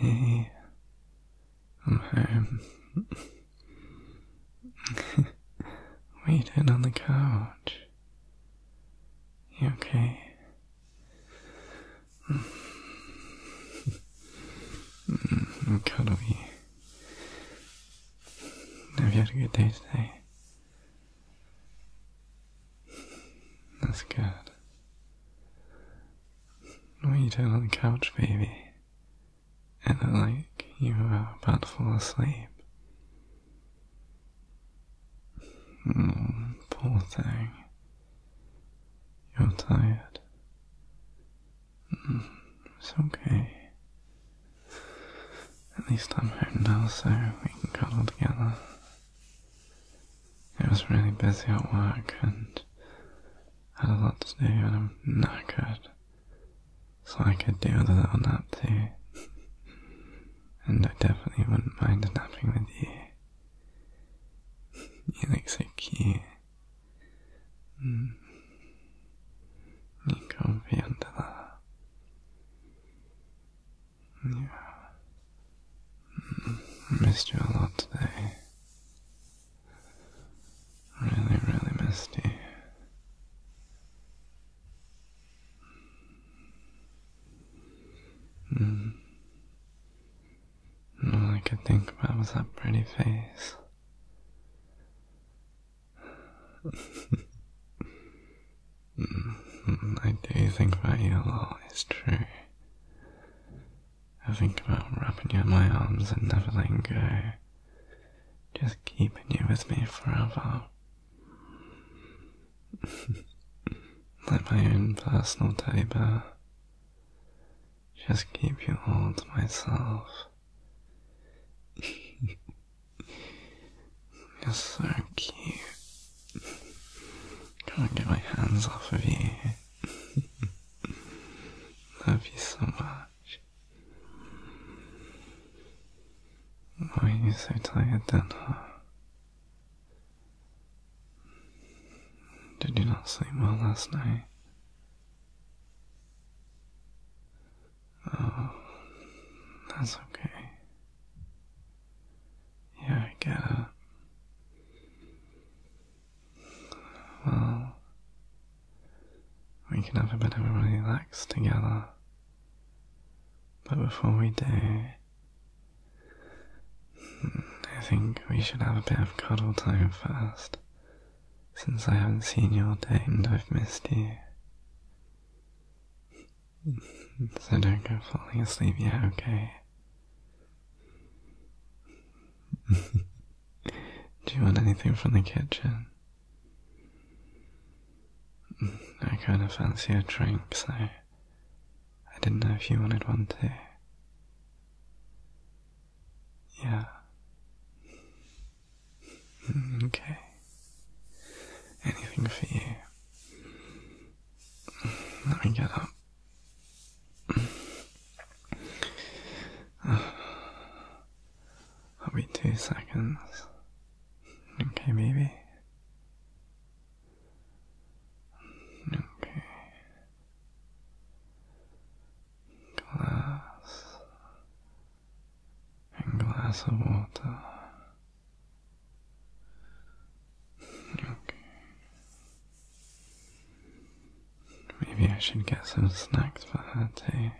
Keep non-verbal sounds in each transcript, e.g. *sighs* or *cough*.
Hey, I'm home. Waiting on the couch. You okay? Cuddly. Have you had a good day today? That's good. What are you doing on the couch, baby? It looked like you are about to fall asleep. Mm, poor thing. You're tired. Mm, it's okay. At least I'm home now so we can cuddle together. It was really busy at work and I had a lot to do and I'm not good, So I could do with a little nap too. and I definitely wouldn't mind napping with you. You look so cute. うんに顔見やんだな。いや、missed mm. mm. you a lot today. Really, really missed you. Mm. All I could think about was that pretty face. Mm-hmm. I do think that you a always it's true. I think about wrapping you in my arms and never letting go. Just keeping you with me forever. *laughs* like my own personal teddy Just keep you all to myself. *laughs* You're so cute. Can't get my hands off you. *laughs* Love you so much. Why are you so tired then, huh? Did you not sleep well last night? Oh, that's okay. Yeah, I get it. Well, we can have a bit of a relax together. But before we do, I think we should have a bit of cuddle time first. Since I haven't seen you all day and I've missed you. so don't go falling asleep yet, okay? *laughs* Do you want anything from the kitchen? I kind of fancy a drink, so I didn't know if you wanted one too. Yeah. Hmm, okay. Anything for you. Let me get up. i *sighs* two seconds. Okay, baby. Okay. Glass and glass of water. Okay. Maybe I should get some snacks for her too.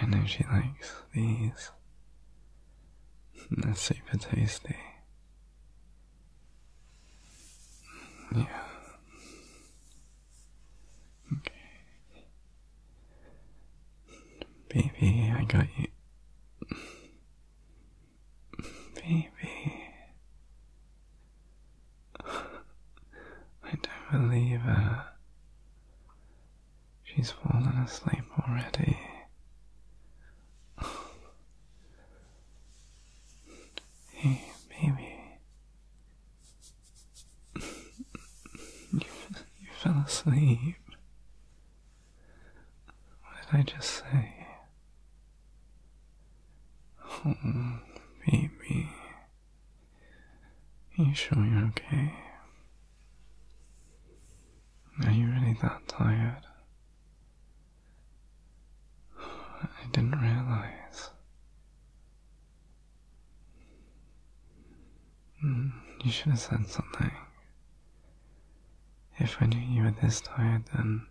I know she likes these. They're super tasty. Yeah. Okay. Baby, I got you. Baby. I don't believe her. Uh, She's fallen asleep already. hey, baby. you, you fell asleep. What did I just say? Oh, baby. Are you sure you're okay? Are you really that tired? I didn't realize. Hmm, you should have said something. If I knew you were this tired, then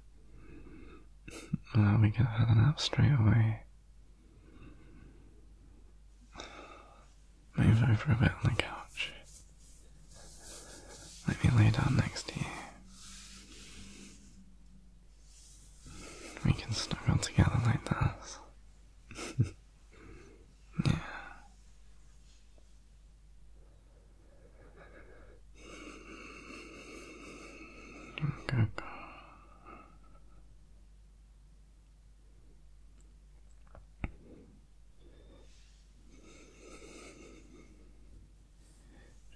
well, we could have had a nap straight away. Move over a bit on the couch. Let me lay down next to you. We can snuggle together like this. *laughs* yeah. Good.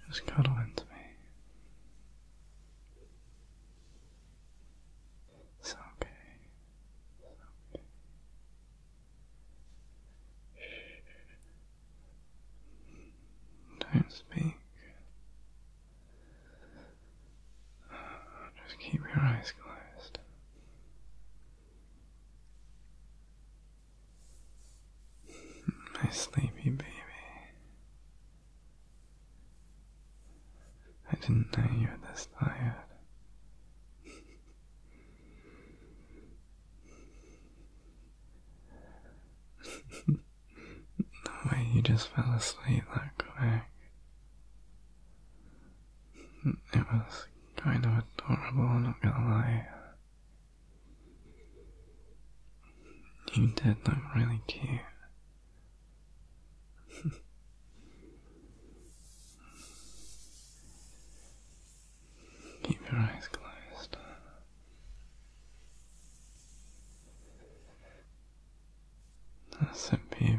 Just cuddle into me. It's okay. Don't speak. Just keep your eyes closed. My sleepy baby. I didn't know you were this tired. *laughs* the way you just fell asleep that quick. It was kind of adorable, not gonna lie. You did look really cute. *laughs* Keep your eyes closed. That's a baby.